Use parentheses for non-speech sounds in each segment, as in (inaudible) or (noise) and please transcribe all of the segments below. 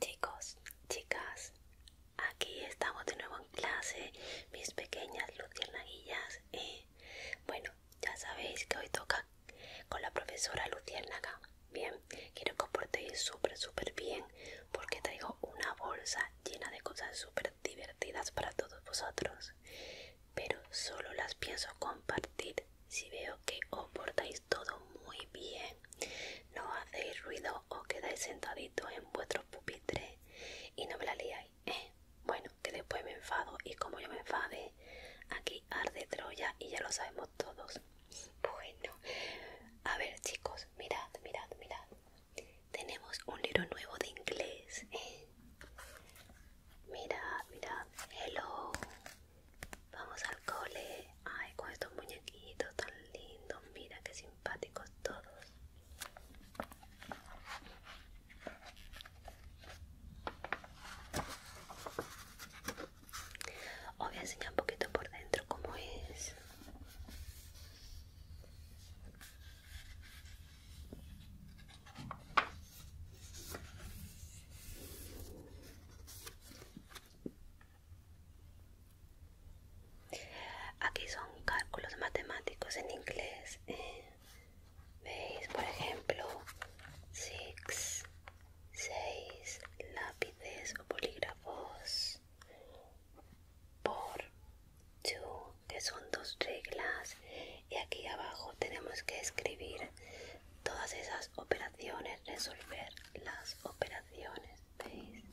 Chicos, chicas, aquí estamos de nuevo en clase, mis pequeñas luciernaguillas, Eh, bueno, ya sabéis que hoy toca con la profesora luciérnaga. Bien, quiero que os portéis súper, súper bien porque traigo una bolsa llena de cosas súper divertidas para todos vosotros. Pero solo las pienso compartir si veo que os portáis todo muy bien. No hacéis ruido os quedáis sentaditos en vuestros pupitres y no me la liáis, ¿eh? Bueno, que después me enfado y como yo me enfade, aquí arde Troya y ya lo sabemos todos. Bueno, a ver chicos, mirad, mirad, mirad. Tenemos un libro nuevo de inglés, ¿eh? Mirad, mirad, hello. Vamos al cole. Ay, con estos muñequitos tan lindos. Mira qué simpáticos todos. Os voy a enseñar un poquito por dentro como es. Aquí son cálculos matemáticos en inglés. Eh, veis, por ejemplo, Six Seis lápices o polígrafos por Two que son dos reglas. Y aquí abajo tenemos que escribir todas esas operaciones, resolver las operaciones. ¿Veis?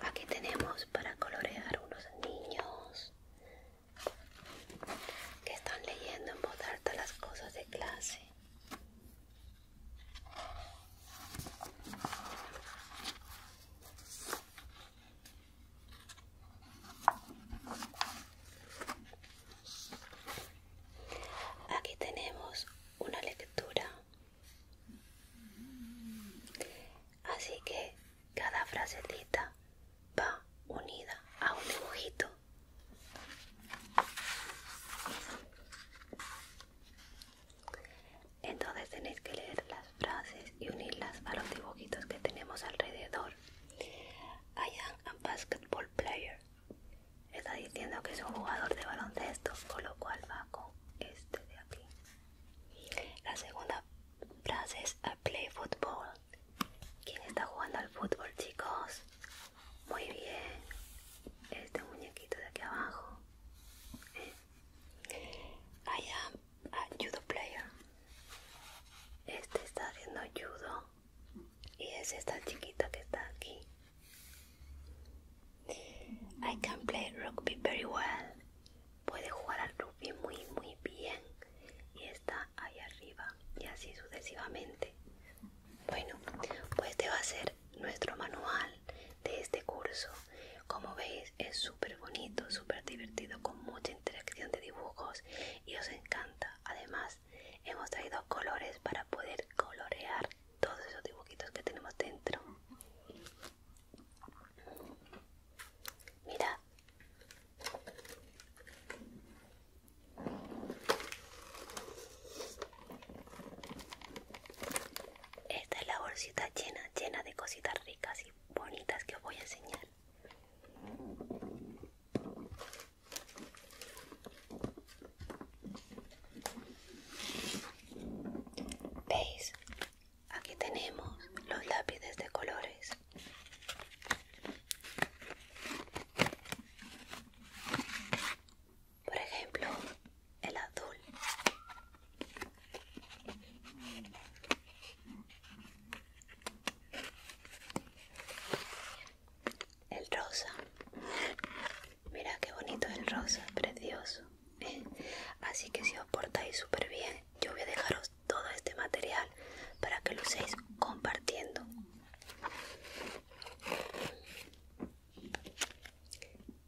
Aquí tenemos para colorear unos niños que están leyendo en voz las cosas de clase. Aquí tenemos una lectura Así que cada frasecita va unida a un dibujito. Entonces tenéis que leer las frases y unirlas a los dibujitos que tenemos alrededor. I am a basketball player. Está diciendo que es un jugador de baloncesto, con lo cual va con este de aquí. La segunda frase es A play football. ¿Quién está jugando al fútbol, chicos? Muy bien. Este muñequito de aquí abajo. hay eh. I am a judo player. Este está haciendo judo. Y es esta chiquita que está aquí. I can play rugby very well. Puede jugar al rugby muy, muy bien. Y está ahí arriba. Y así sucesivamente. Bueno, pues este va a ser nuestro manual de este curso. Como veis, es súper bonito, súper divertido, con mucha interacción de dibujos y os encanta. Además, hemos traído colores para poder colorear todos esos dibujitos que tenemos dentro mira esta es la bolsita llena llena de cositas ricas y bonitas que os voy a enseñar ¿Veis? Aquí tenemos los lápices de colores. Por ejemplo, el azul el rosa mira que bonito el rosa precioso (laughs) así que si os portáis súper bien yo voy a dejaros todo este material para que lo uséis compartiendo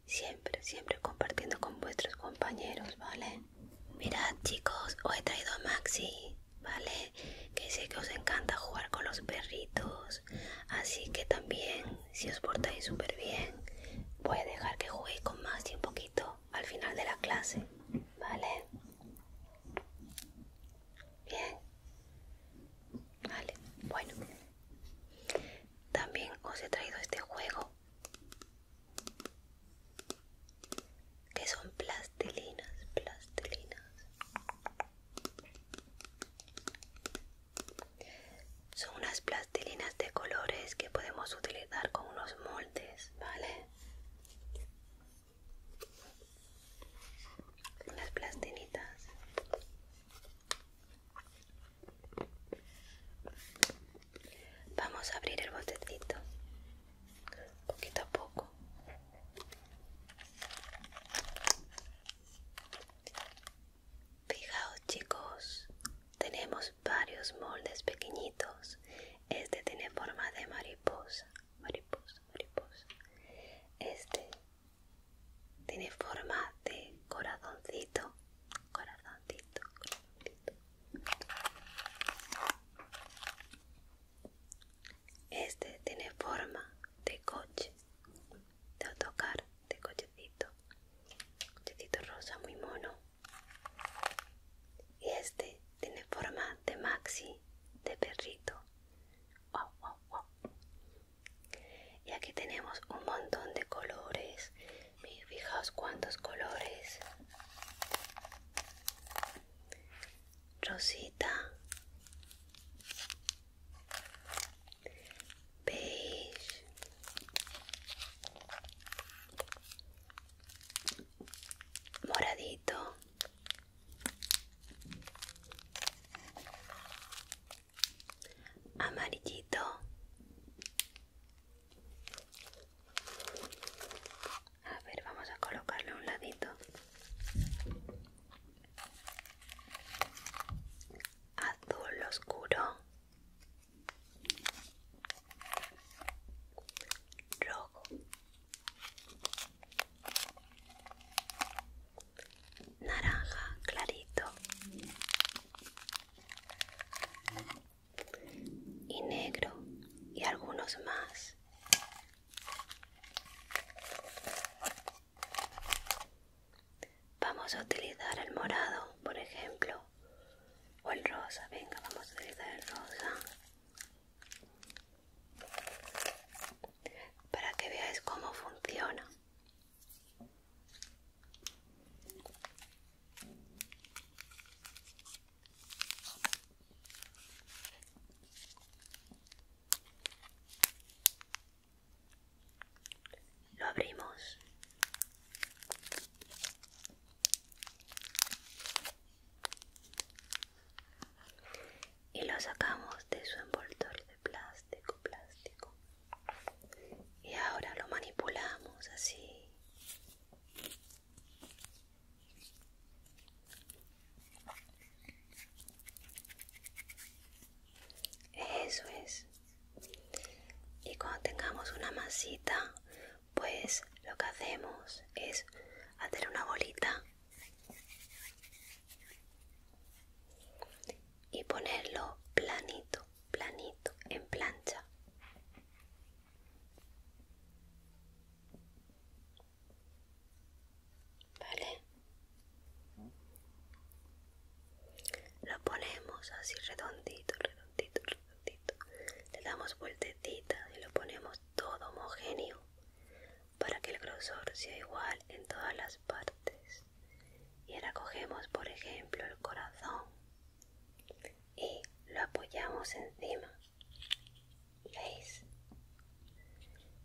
siempre siempre compartiendo con vuestros compañeros vale mirad chicos os he traído a maxi vale que sé que os encanta jugar con los perritos Así que también, si os portáis súper bien, voy a dejar que juguéis con más y un poquito al final de la clase. ¿Vale? Bien. Vale, bueno. También os he traído este juego. Que son plastilinas, plastilinas. Son unas plastilinas de colores que podemos utilizar con unos moldes, ¿vale? Las plastilitas. Vamos a abrir el botecito, poquito a poco. Fijaos chicos, tenemos varios moldes pequeñitos. Este tiene forma de mariposa, mariposa, mariposa. Este tiene forma de corazoncito, corazoncito, corazoncito. Este tiene forma de coche, de autocar de cochecito cochecito rosa muy mono y este tiene forma de maxi de perrito y aquí tenemos un montón de colores fijaos cuántos colores rosita beige moradito amarillito a ver vamos a colocarle a un ladito azul oscuro, rojo, naranja clarito y negro y algunos más Vamos a utilizar el morado, por ejemplo, o el rosa. Venga, vamos a utilizar el rosa. Para que veáis cómo funciona. Lo abrimos. Y lo sacamos de su envoltor de plástico, plástico. Y ahora lo manipulamos así. Eso es. Y cuando tengamos una masita, pues lo que hacemos es hacer una bolita y ponerlo planito, planito, en plancha. ¿Vale? Lo ponemos así redondito, redondito, redondito. Le damos vueltecita y lo ponemos todo homogéneo para que el grosor sea igual en todas las partes. Y ahora cogemos, por ejemplo, el corazón y lo apoyamos encima. ¿Veis?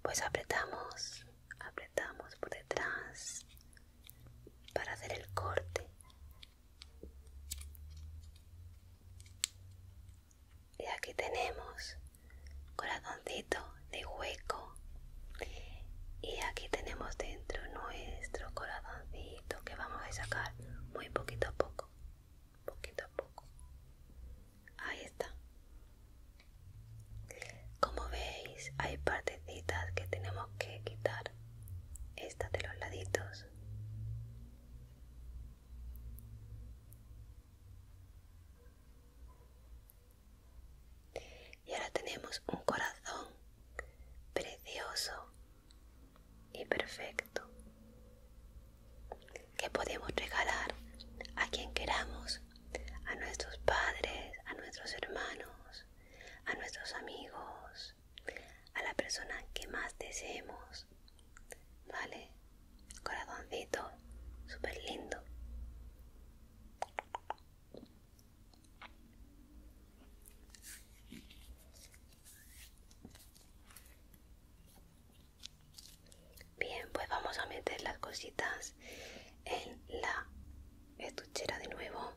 Pues apretamos apretamos por detrás para hacer el corte y aquí tenemos corazoncito de hueco y aquí tenemos dentro nuestro corazoncito que vamos a sacar muy poquito a poco poquito a poco ahí está como veis, hay partecitas que tenemos que quitar. Estas de los laditos. Y ahora tenemos un corazón precioso y perfecto que podemos regalar a quien queramos a nuestros padres, a nuestros hermanos, a nuestros amigos, a la persona que más deseemos. ¿Vale? Corazoncito, super lindo. Bien, pues vamos a meter las cositas en la estuchera de nuevo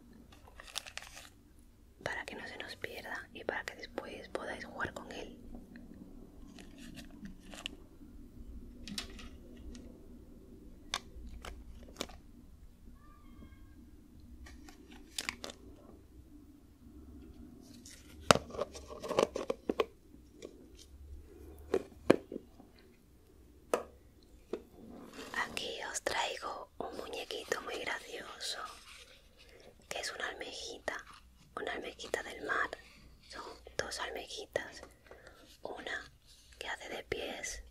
para que no se nos pierda y para que después podáis jugar con él. Aquí os traigo un muñequito muy gracioso, que es una almejita, una almejita del mar. Son dos almejitas, una que hace de pies,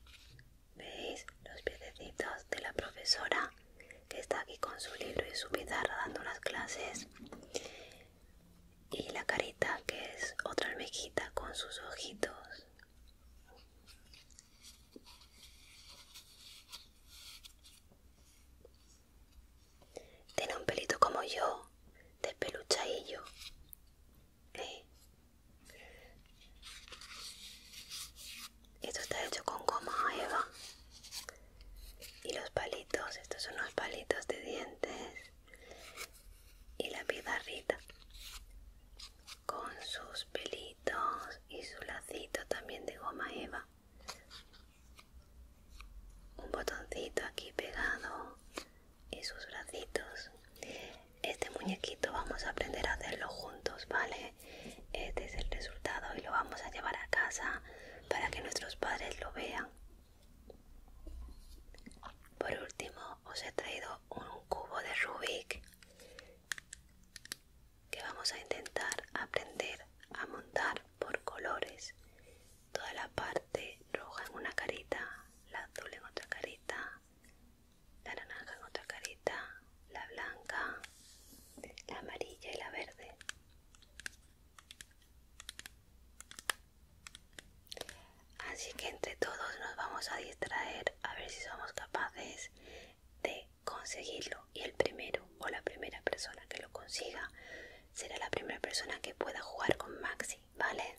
veis los piecitos de la profesora que está aquí con su libro y su pizarra dando las clases y la carita que es otra almejita con sus ojitos tiene un pelito como yo de peluchadillo esto está hecho con goma eva y los palitos estos son los palitos de dientes y la pizarrita con sus pelitos y su lacito también de goma eva un botoncito aquí pegado y sus bracitos este muñequito vamos a aprender a hacerlo juntos vale este es el resultado y lo vamos a llevar a casa para que nuestros padres lo vean por último os he traído un cubo de Rubik que vamos a intentar aprender a montar por colores. Toda la parte roja en una carita, la azul en otra carita, la naranja en otra carita, la blanca, la amarilla y la verde. Así que entre todos nos vamos a distraer a ver si somos capaces de conseguirlo. Y el primero o la primera persona que lo consiga será la primera persona que pueda jugar con Maxi, ¿vale?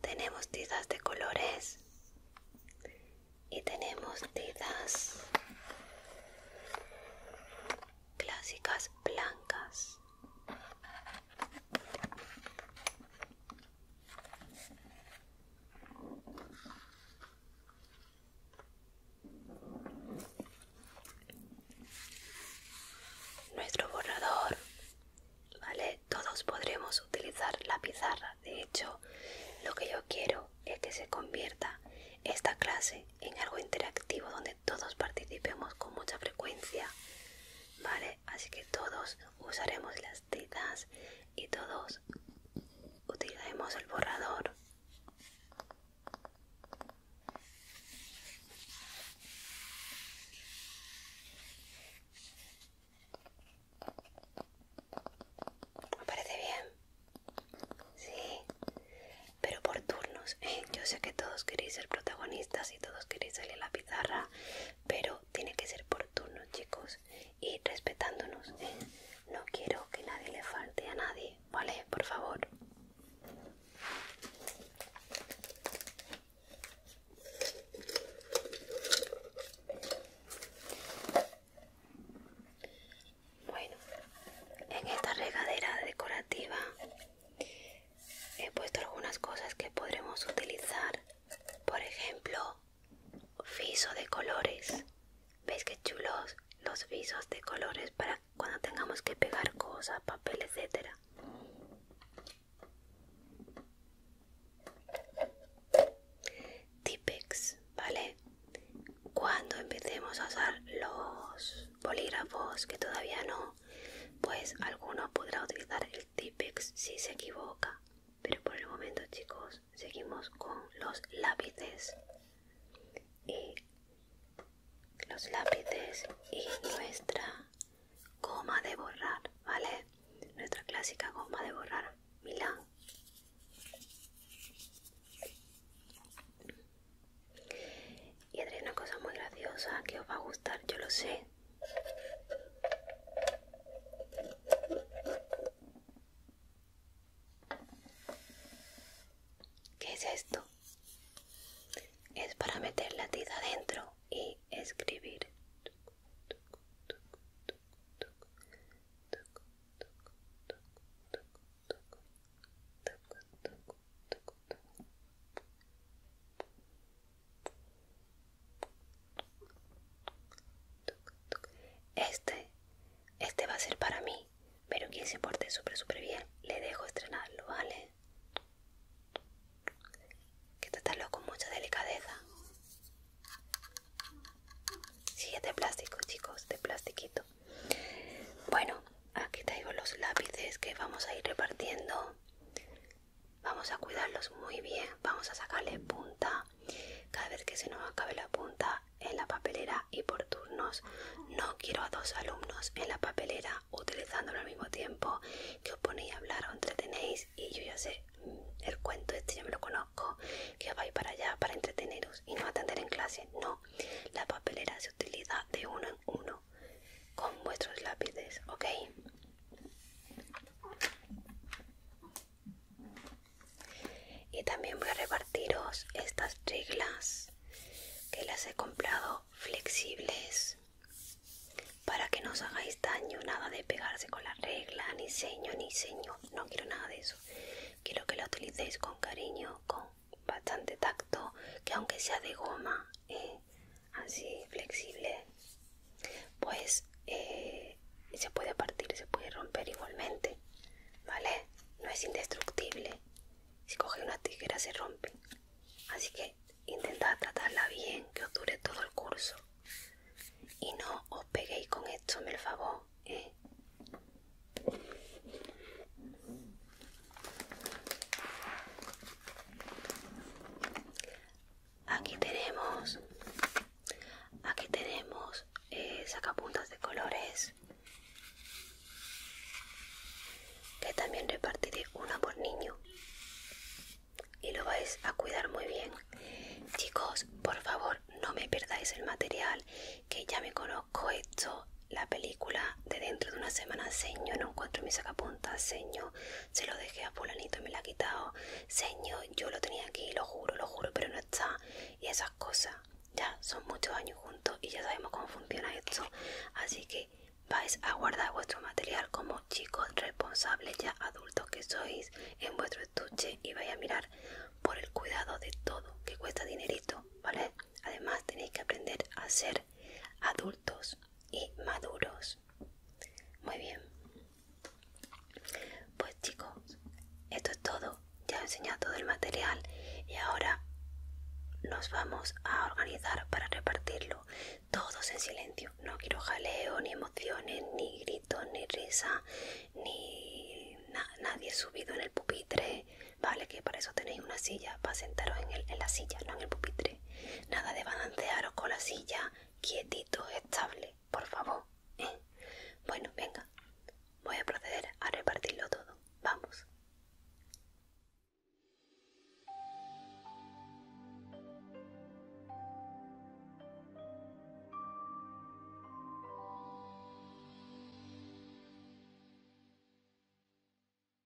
Tenemos tizas de colores y tenemos tizas clásicas blancas nuestro borrador, ¿vale? Todos podremos utilizar la pizarra. De hecho, lo que yo quiero es que se convierta esta clase en algo interactivo donde todos participemos con mucha frecuencia, ¿vale? Así que todos usaremos las citas y todos utilizaremos el borrador. ¿Me parece bien? Sí pero por turnos. Eh, yo sé que todos queréis ser protagonistas y todos queréis salir a la pizarra, pero tiene que ser por turnos, chicos, y respetándonos. Eh. No quiero que nadie le falte a nadie, ¿vale? Por favor. Bueno, en esta regadera decorativa he puesto algunas cosas que podremos utilizar por ejemplo viso de colores veis que chulos los visos de colores para cuando tengamos que pegar cosas papel etcétera tipex vale cuando empecemos a usar los bolígrafos que todavía no pues alguno podrá utilizar el Tipex si se equivoca, pero por el momento, chicos, seguimos con los lápices y los lápices y nuestra goma de borrar, ¿vale? Nuestra clásica goma de borrar, Milán. Y haré una cosa muy graciosa que os va a gustar, yo lo sé. ¿Qué es esto? Es para meter la tiza adentro y escribir. Este, este va a ser para mí, pero quien se porte súper súper bien, le dejo estrenarlo, ¿vale? Que tratarlo con mucha delicadeza. Sí, es de plástico, chicos, de plastiquito. Bueno, aquí traigo los lápices que vamos a ir repartiendo. Vamos a cuidarlos muy bien, vamos a sacarle punta cada vez que se nos acabe la punta en la papelera y por turnos. No quiero a dos alumnos en la papelera utilizándolo al mismo tiempo que os ponéis a hablar o entretenéis y yo ya sé mm, el cuento este, ya me lo conozco, que vais para allá para entreteneros y no atender en clase. No, la papelera se utiliza de uno en uno con vuestros lápices, ¿ok? Y también voy a repartiros estas reglas que las he comprado flexibles para que no os hagáis daño, nada de pegarse con la regla, ni seño, ni seño, no quiero nada de eso. Quiero que la utilicéis con cariño, con bastante tacto que aunque sea de goma eh, así flexible pues eh, se puede partir se puede romper igualmente vale no es indestructible si coge una tijera se rompe así que intentad tratarla bien que os dure todo el curso y no os peguéis con esto me el favor eh. Aquí tenemos, aquí tenemos eh, sacapuntas de colores que también repartiré una por niño y lo vais a cuidar muy bien chicos por favor no me perdáis el material que ya me conozco esto la película de dentro de una semana, señor, no encuentro mi sacapuntas, seño, se lo dejé a fulanito y me la ha quitado, seño yo lo tenía aquí, lo juro, lo juro, pero no está, y esas cosas, ya son muchos años juntos y ya sabemos cómo funciona esto, así que vais a guardar vuestro material como chicos responsables ya adultos que sois en vuestro estuche y vais a mirar por el cuidado de todo que cuesta dinerito, ¿vale? Además tenéis que aprender a ser adultos y maduros. Muy bien. Pues chicos, esto es todo. Ya he enseñado todo el material y ahora nos vamos a organizar para repartirlo. Todos en silencio. No quiero jaleo, ni emociones, ni gritos, ni risa, ni nadie subido en el pupitre. Vale, que para eso tenéis una silla, para sentaros en, la silla, no en el pupitre. Nada de balancearos con la silla, quietito, estable, por favor. ¿eh? Bueno, venga, voy a proceder a repartirlo todo. Vamos.